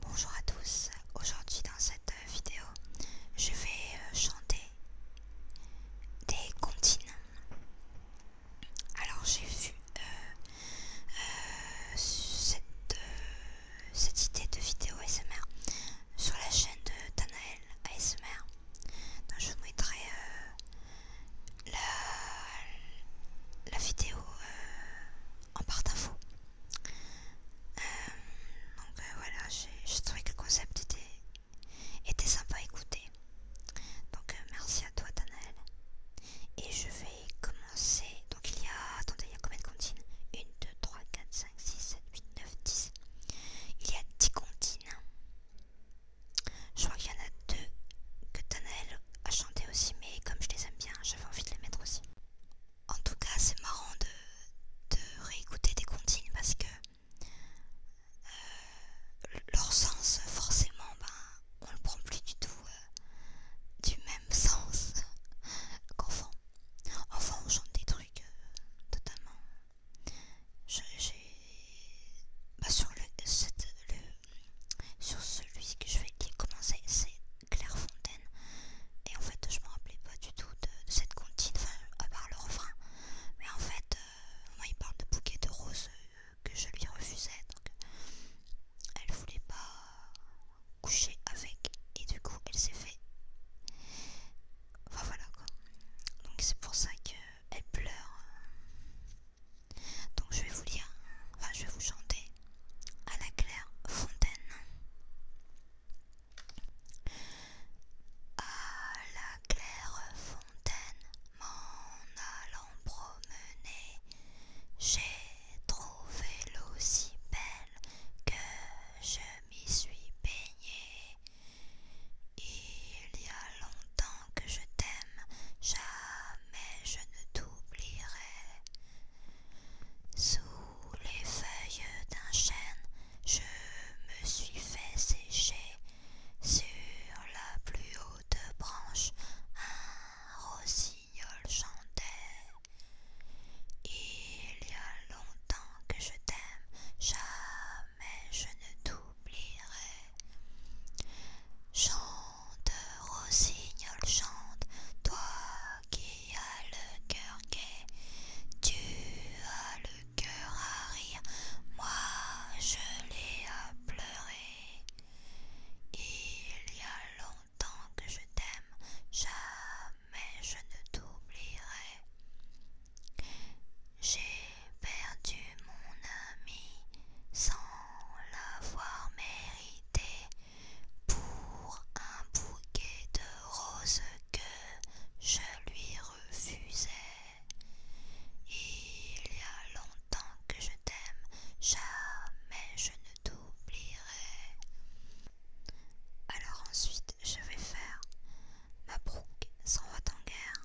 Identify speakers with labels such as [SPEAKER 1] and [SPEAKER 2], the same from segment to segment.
[SPEAKER 1] Bonjour à tous, aujourd'hui dans cette vidéo je vais euh, chanter des continents alors j'ai vu euh, euh, euh, cette, idée de vidéo ASMR sur la chaîne de Tanael ASMR. Donc, je vous mettrai la, vidéo en part d'infos donc voilà, j'ai trouvé que le concept était t'es sympa à écouter. Donc euh, merci à toi Danaël. Et je vais commencer. Donc il y a. Attendez, il y a combien de comptines 1, 2, 3, 4, 5, 6, 7, 8, 9, 10. Il y a 10 comptines. Je crois qu'il y en a 2 que Danaël a chanté aussi, mais comme je les aime bien, j'avais envie de les mettre aussi. En tout cas, c'est marrant de, de réécouter des comptines parce que leur sens, forcément, ben, on le prend plus du tout euh, du même sens qu'enfant. Enfin, on chante des trucs euh, totalement. J'ai bah, sur sur celui que je vais dire commencer, c'est Claire Fontaine. Et en fait, je me rappelais pas du tout de, cette contine enfin, à part le refrain. Mais en fait, euh, moi, il parle de bouquets de roses que je lui refusais. Donc, elle voulait pas coucher avec et du coup elle s'est fait. Enfin voilà quoi. Donc c'est pour ça qu'elle pleure. Donc je vais vous lire, enfin je vais vous chanter à la Claire Fontaine. À la Claire Fontaine, en allant promener, j'ai trouvé l'eau si belle que je m'y suis baignée. Il y a longtemps que je t'aime, jamais je ne t'oublierai. Sous les feuilles d'un chêne, je me suis fait sécher sur la plus haute branche, un rossignol chantait. Il y a longtemps que je t'aime, jamais je ne t'oublierai. Chante, rossignol, chante, toi qui as le cœur gai, tu as le cœur à rire, moi je l'ai à pleurer. Il y a longtemps que je t'aime, jamais je ne t'oublierai. J'ai perdu mon ami sans l'avoir mérité pour un bouquet de roses que je lui refusais. Il y a longtemps que je t'aime, jamais je ne t'oublierai. Alors ensuite, je vais faire ma brooke s'en va en guerre.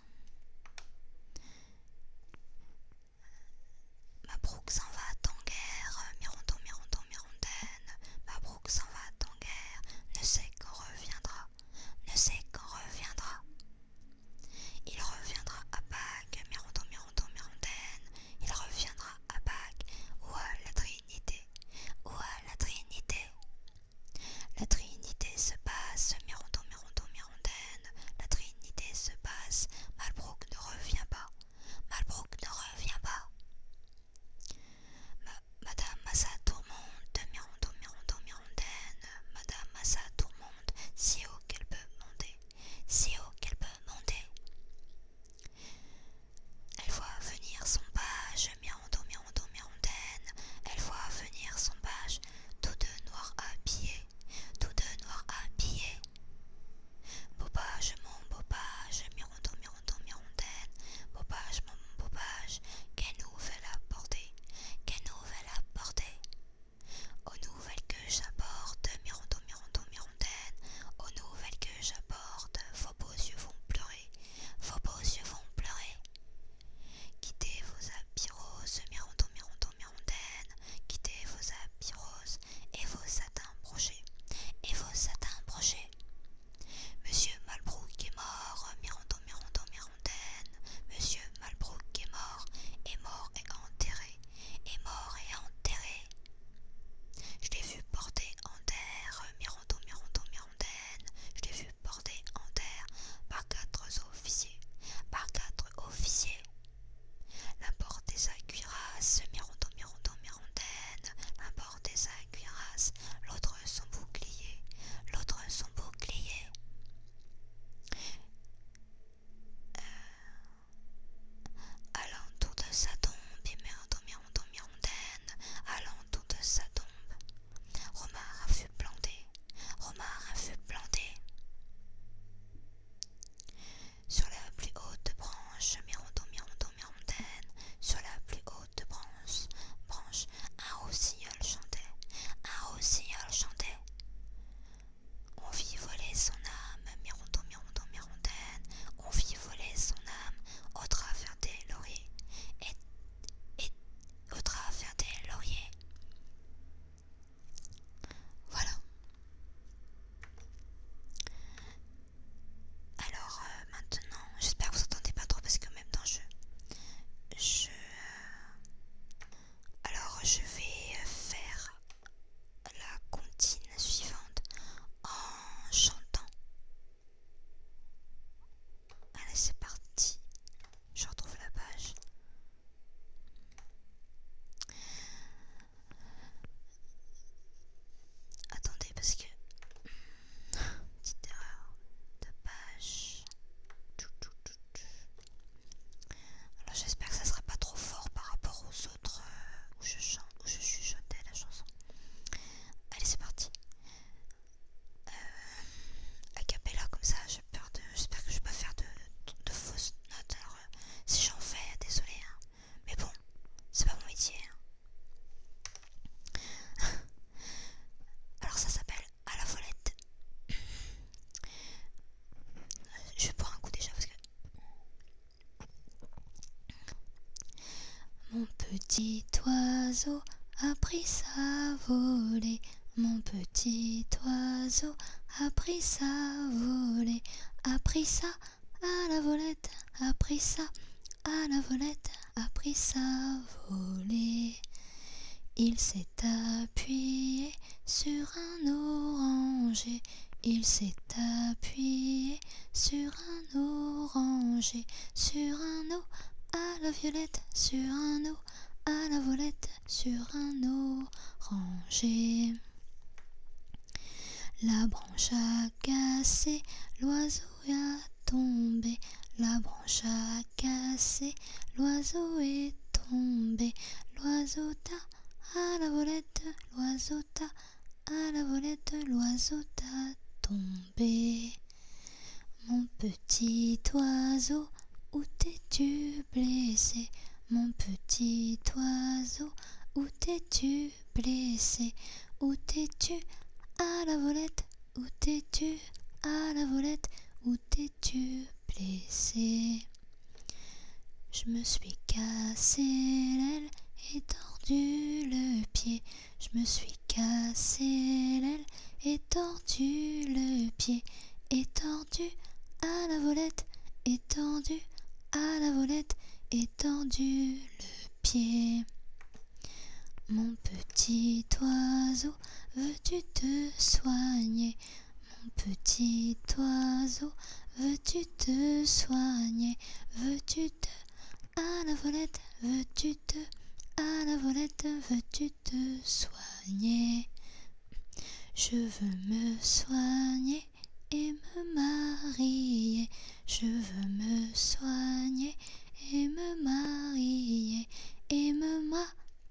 [SPEAKER 1] Ma brooke s'en va en guerre, Mirondon, Mirondon, Mirondaine. Ma s'en va en guerre, ne sait qu'on reviendra ne sait quand reviendra. Il reviendra à Pâques, Mirondon, Mirondon, Mirondaine, il reviendra à Pâques, ou à la Trinité, ou à la Trinité. La Trinité se passe, Mirondon, Mirondon, Mirondaine, la Trinité se passe, Malbrook ne revient pas, Malbrook ne revient pas. Madame Massa tourmente, Mirondon, Mirondon, Mirandaine, Madame Massa monde, si haut qu'elle peut monter, si haut qu'elle peut monter. Elle voit venir son page, Mirandon, Mirandon, Mirandaine, elle voit venir son page, tout de noir habillé, tout de noir habillé. Beau page, mon beau page, Mirandon, Mirandon, Mirandaine, beau page, mon beau page, qu'elle nous fait la porter, qu'elle aux nouvelles que j'apporte, Mirandot, Mirandot, Mirondaine, aux nouvelles que j'apporte, vos beaux yeux vont pleurer, vos beaux yeux vont pleurer. Quittez vos habits roses, Mirandot, Mirandot, Mirondaine, quittez vos habits roses et vos satins brochés, et vos satins brochés. Monsieur Malbrook est mort, Mirondon, Mirondon, Monsieur Malbrook est mort, est mort et enterré, est mort et enterré. Je l'ai vu porter en terre, Mirando, Mirando, Mirandaine je l'ai vu porter en terre par quatre officiers, par quatre officiers. L'un des sa cuirasse, Mirando, Mirondaine, porte des sa cuirasse, l'autre son bouclier, l'autre son bouclier. Allant euh, alentour de sa tombe, allant alentour de sa tombe. a fut planté, Romar a fut planté. Sur la plus haute branche, mirondon, sur la plus haute branche, branche, un rossignol chantait, un rossignol chantait. On vit voler son âme, mirondon, mirondon, mirondaine, on vit voler son âme au travers des lauriers, et, et au travers des lauriers. Voilà. Alors euh, maintenant, j'espère que vous entendez pas trop parce que même dans le jeu, je alors je vais faire la comptine suivante en chantant. Allez, c'est parti. Je retrouve la page. Attendez, parce que. Hmm, petite erreur de page. Alors j'espère que ça sera pas trop fort par rapport aux autres euh, où je chante, où je chuchotais la chanson. Allez c'est parti. Euh, a cappella comme ça, j'ai peur de. J'espère que je vais pas faire de, fausses notes. Alors euh, si j'en fais, désolé. Hein. Mais bon, c'est pas mon métier. Hein. Alors ça s'appelle à la volette. Je vais prendre un coup déjà parce que. Mon petit oiseau a pris sa volée. Mon petit oiseau a pris sa volée. A pris ça à la volette. A pris ça à la volette a pris sa volée. Il s'est appuyé sur un oranger. Il s'est appuyé sur un oranger. Sur un eau à la violette. Sur un eau à la volette. Sur un oranger. La branche a cassé, l'oiseau a tombé, la branche a cassé, l'oiseau est tombé, l'oiseau t'a à la volette, l'oiseau t'a à la volette, l'oiseau t'a tombé. Mon petit oiseau, où t'es-tu blessé Mon petit oiseau, où t'es-tu blessé Où t'es-tu à la volette où t'es-tu à la volette Où t'es-tu blessé Je me suis cassé l'aile et tordu le pied. Je me suis cassé l'aile et tordu le pied. Étendu à la volette, Étendu à la volette, Étendu le pied. Mon petit oiseau, veux-tu te soigner Mon petit oiseau, veux-tu te soigner Veux-tu te à la volette, veux-tu te à la volette, veux-tu te soigner Je veux me soigner et me marier. Je veux me soigner et me marier. Et me m'a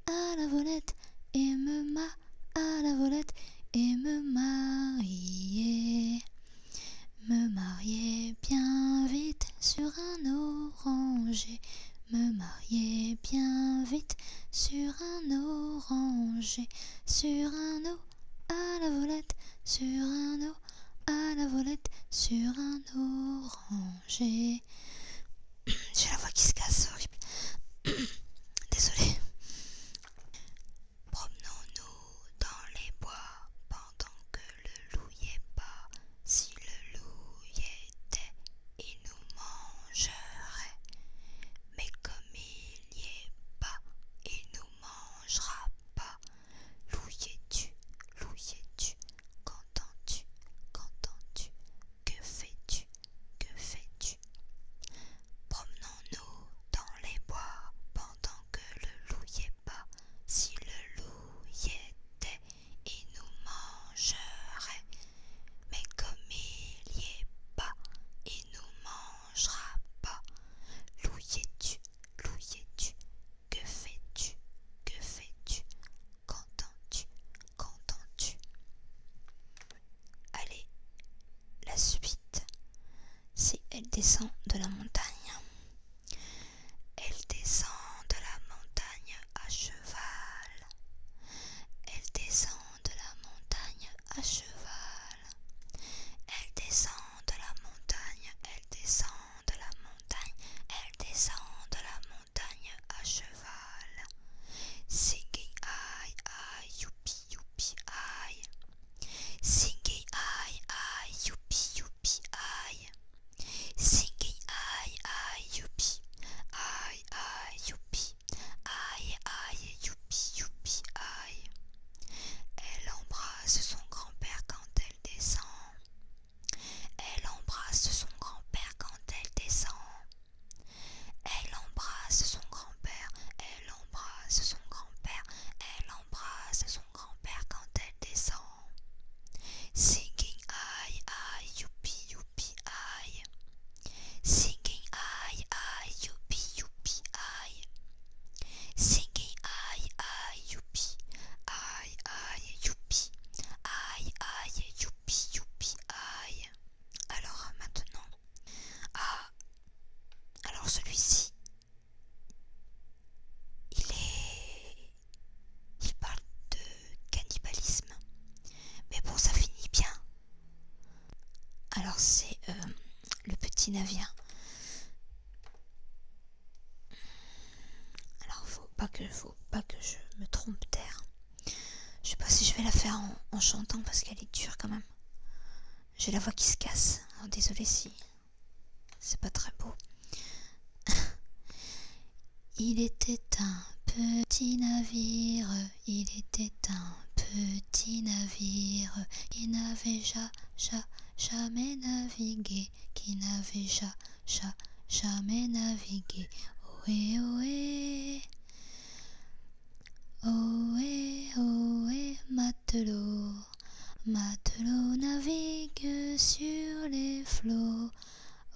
[SPEAKER 1] à la volette, me m'a à la volette, et me marier. Me marier bien vite sur un oranger, me marier bien vite sur un oranger, sur un eau à la volette, sur un eau à la volette, sur un orange. J'ai la voix qui se casse, horrible. Désolée. Promenons-nous dans les bois pendant que le loup y est pas. Si le loup y était, il nous mangerait. Mais comme il y est pas, il nous mangera pas. Loup tu loup tu Qu'entends-tu Qu'entends-tu Que fais-tu Que fais-tu Promenons-nous dans les bois pendant que le loup y est pas. Si le loup y était, il nous mangerait. Mais comme il y est pas, il nous mangera pas. Loup y tu Loup y tu que fais-tu Que fais-tu Qu'entends-tu Qu'entends-tu Allez, la suite. Si elle descend de la montagne, elle descend de la montagne à cheval. Elle descend de la montagne à cheval. Elle descend de la montagne, elle descend de la montagne, elle descend de la montagne à cheval. Singing aïe aïe youpi youpi aïe. Singing aïe aïe youpi youpi aïe. Singing aïe aïe youpi aïe aïe youpi aïe aïe youpi youpi aïe. Elle embrasse son grand-père quand elle descend. Elle embrasse son grand-père quand elle descend. Elle embrasse son grand-père, elle embrasse son grand-père, elle embrasse son grand-père quand elle descend. Singing aïe aïe youpi youpi aïe. Singing aïe aïe youpi youpi aïe. Singing aïe aïe youpi aïe aïe youpi aïe aïe youpi youpi aïe alors maintenant ah alors celui-ci il est il parle de cannibalisme mais bon ça finit bien alors c'est euh, le petit navire alors faut pas que faut pas que je me trompe terre. Je sais pas si je vais la faire en, chantant parce qu'elle est dure quand même. J'ai la voix qui se casse. Alors oh, désolé si c'est pas très beau. il était un petit navire, il était un petit navire, il n'avait jamais navigué qui n'avait jamais navigué. Ohé, ohé, ohé, ohé, matelot, matelot navigue sur les flots.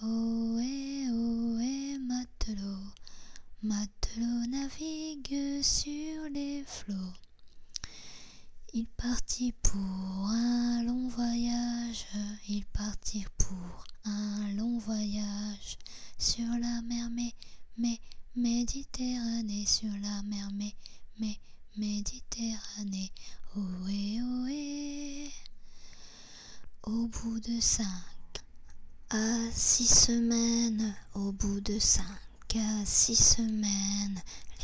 [SPEAKER 1] Ohé, ohé, matelot, matelot navigue sur les flots. Il partit pour un long voyage, ils partirent pour un long voyage sur la mer mais Méditerranée sur la mer mais Méditerranée. Oui, oui. Au bout de cinq à six semaines, au bout de cinq à six semaines,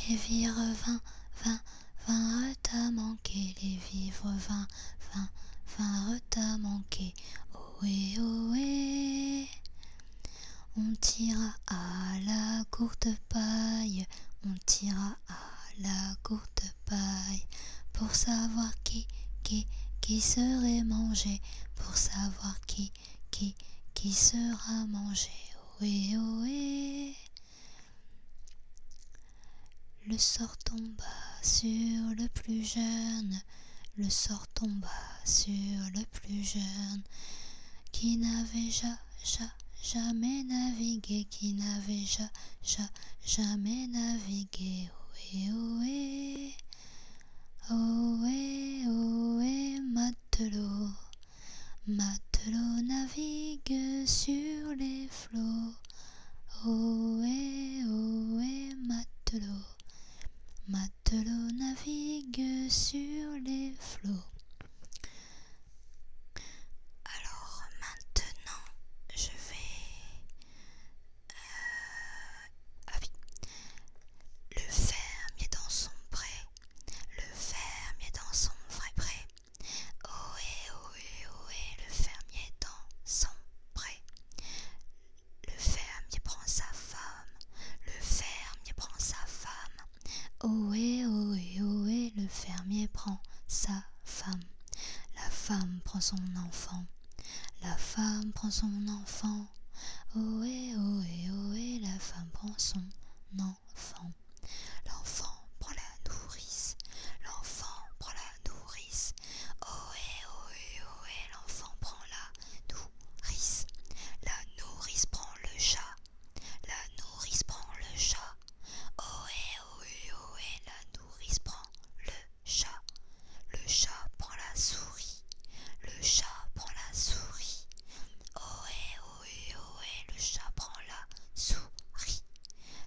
[SPEAKER 1] Lévi revint, vint vingt reta manquer, les vivres vingt, vingt, vingt reta manquer. Ohé, ohé. On tira à la courte paille, on tira à la courte paille, pour savoir qui, qui, qui serait mangé, pour savoir qui, qui, qui sera mangé. Ohé, ohé. Le sort tomba sur le plus jeune, le sort tomba sur le plus jeune, qui n'avait ja, jamais navigué, qui n'avait ja, jamais navigué. Ohé, ohé, ohé, Matelot navigue sur les flots. Ohé, ohé, matelot. Matelot navigue sur les flots. Alors maintenant, je vais... Euh, ah le fermier dans son pré. Le fermier dans son vrai pré. Ohé, ohé, ohé, le fermier dans son prêt. Le fermier prend sa femme, le fermier prend sa femme. Ohé, ohé, ohé, le fermier prend sa femme. La femme prend son enfant, la femme prend son enfant. Ohé, ohé, ohé, la femme prend son enfant l'enfant. prend la nourrice. L'enfant prend la nourrice. oh, ohé, ohé, l'enfant prend la nourrice. La nourrice prend le chat. La nourrice prend le chat. oh, ohé, et la nourrice prend le chat. Le chat prend la souris. Le chat prend la souris. Ohé, le chat prend la souris.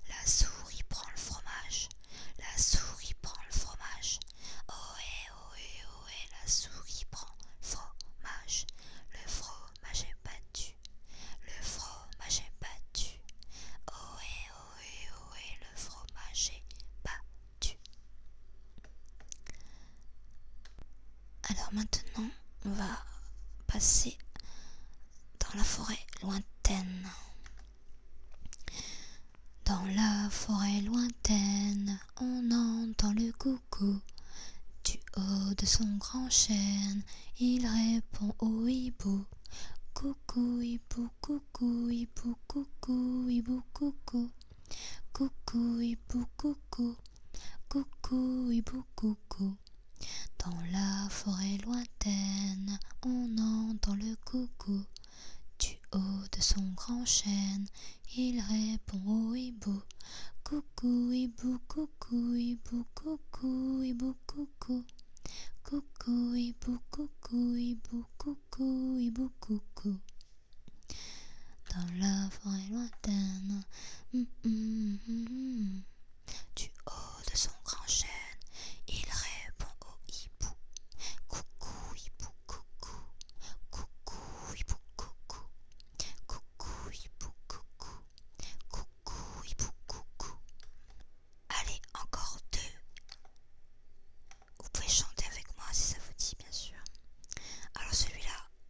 [SPEAKER 1] La souris prend le fromage. La souris prend le fromage. Ohé, ohé, la souris prend le fromage. Le fromage est battu. Le fromage est battu. Ohé, ohé, le fromage est battu. Alors maintenant, on va passer dans la forêt lointaine. Dans la forêt lointaine, on entend le coucou. Du haut de son grand chêne, il répond au hibou. Coucou, hibou, coucou, hibou, coucou, hibou, coucou. Coucou, hibou, coucou. Coucou, hibou, coucou. Dans la forêt lointaine, on entend le coucou. Du haut de son grand chêne, il répond au hibou. Coucou, hibou, coucou, hibou, coucou, hibou, coucou. Coucou, hibou, coucou, hibou, coucou, hibou, coucou. Dans la forêt lointaine, hum, hum, hum, du haut de son grand chêne, il répond au hibou. Coucou hibou, coucou, coucou hibou, coucou, coucou hibou, coucou, coucou hibou, coucou. Allez, encore deux. Vous pouvez chanter avec moi si ça vous dit, bien sûr. Alors celui-là,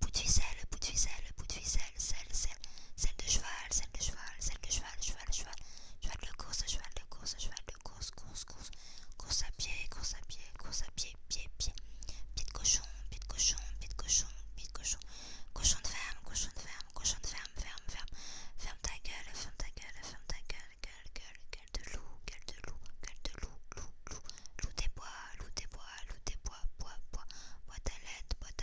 [SPEAKER 1] bout de ficelle, bout de ficelle, celle, de cheval, celle de cheval, celle de cheval, cheval, cheval, cheval de course, cheval de course, cheval de course, course, à pied, course à pied, course à pied, pied, pied, pied cochon, cochon, pied de cochon, cochon, cochon de ferme, cochon de ferme, cochon ferme, ferme, ferme, ferme ta gueule, ferme ta gueule, ferme ta gueule, gueule, gueule, de loup, gueule de loup, gueule de loup, loup, loup, des bois, des bois, loup des bois, bois, bois, bois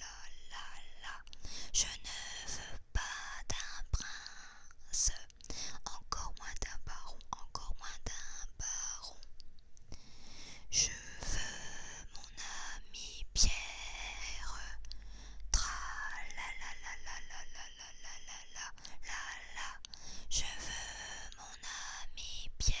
[SPEAKER 1] la la Je ne veux pas d'un prince, encore moins d'un baron, encore moins d'un baron. Je veux mon ami Pierre. Tra la la la la la la la la la la Je veux mon ami Pierre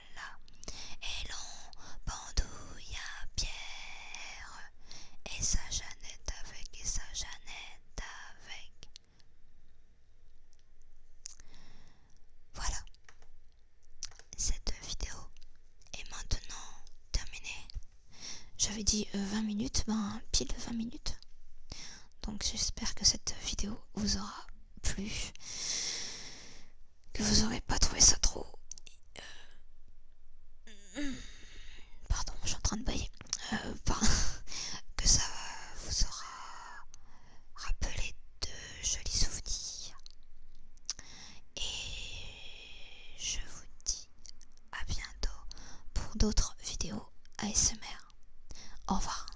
[SPEAKER 1] et l'on bandouille à Pierre, et sa Jeannette avec, et sa Jeannette avec. Voilà, cette vidéo est maintenant terminée. J'avais dit 20 euh, minutes, ben pile 20 minutes. Donc j'espère que cette vidéo vous aura plu que vous aurez pas trouvé ça trop. Euh, pardon, je suis en train de bailler. Euh, que ça vous aura rappelé de jolis souvenirs. Et je vous dis à bientôt pour d'autres vidéos ASMR. Au revoir.